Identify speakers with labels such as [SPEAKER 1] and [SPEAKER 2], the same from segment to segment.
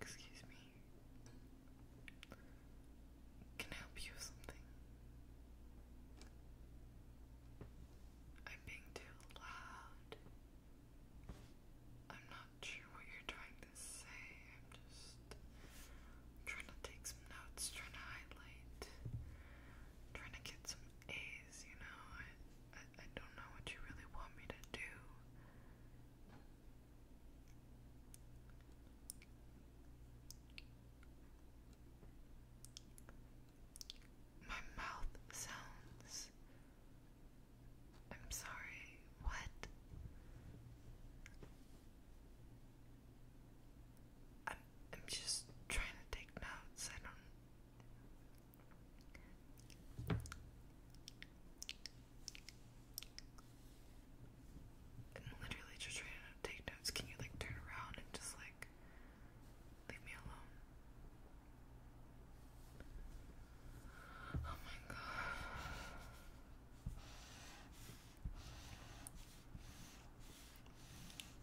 [SPEAKER 1] Excuse me. Can I help you with something? I'm being too loud. I'm not sure what you're trying to say. I'm just trying to take some notes, trying to highlight, trying to get some A's, you know? I, don't know what you really want me to do. My mouth sounds. I'm sorry, what? I'm, I'm just trying to take notes. I don't literally just trying to take notes. Can you like turn around and just like leave me alone? Oh my god.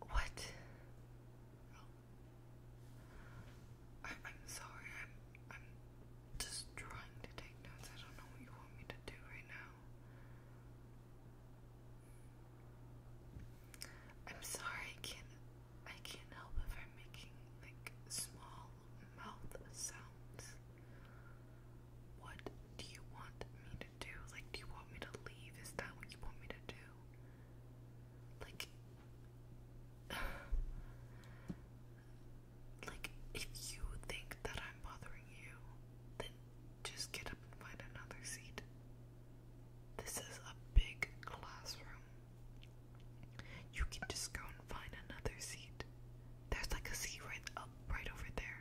[SPEAKER 1] What? Oh, I'm sorry. I'm I'm just trying to take notes. I don't know what you want me to do right now. I'm sorry, I can't I can't help if I'm making like small mouth sounds. What do you want me to do? Like do you want me to leave? Is that what you want me to do? Like like if you think that I'm bothering you, then just get up and find another seat. This is a big classroom. You can just go and find another seat. There's like a seat right up, right over there.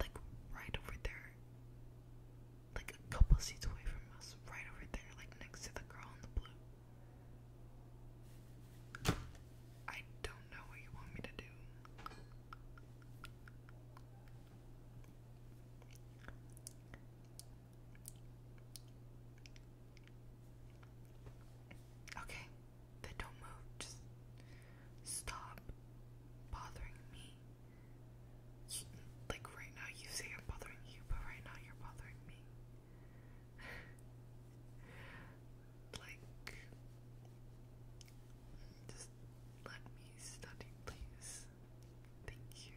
[SPEAKER 1] Like right over there. Like a couple seats away from us. Right over there, like next to the girl in the blue. I don't know what you want me to do. Okay, then don't move. Just stop bothering me. You, like right now, you say I'm bothering you, but right now you're bothering me like just let me study please. Thank you.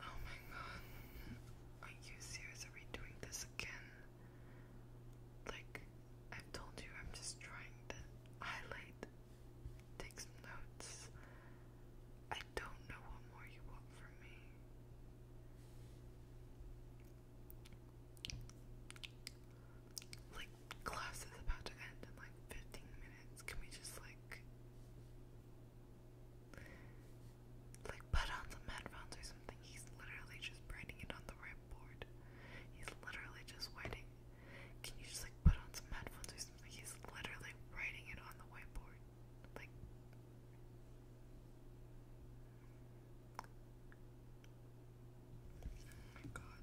[SPEAKER 1] Oh my god. Are you serious? Are we doing this again? Like, I've told you I'm just trying to highlight, take some notes. I don't know what more you want from me. Like, class is about to end in like 15 minutes. Can we just, like, like, put on some headphones or something. He's literally just writing it on the whiteboard. He's literally just writing. Can you just, like, put on some headphones or something? He's literally writing it on the whiteboard. Like, oh my god.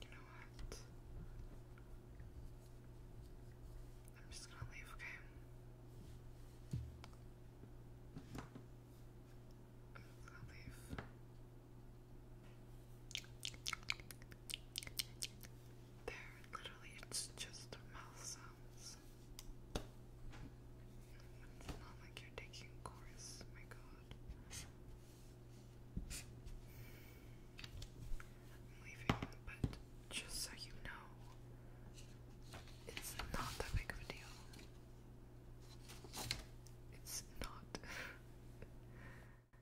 [SPEAKER 1] You know what? I'm just gonna leave, okay? I'm leave. There, literally, it's just mouth sounds. It's not like you're taking a course, my god. I'm leaving, but just so you know, it's not that big of a deal. It's not.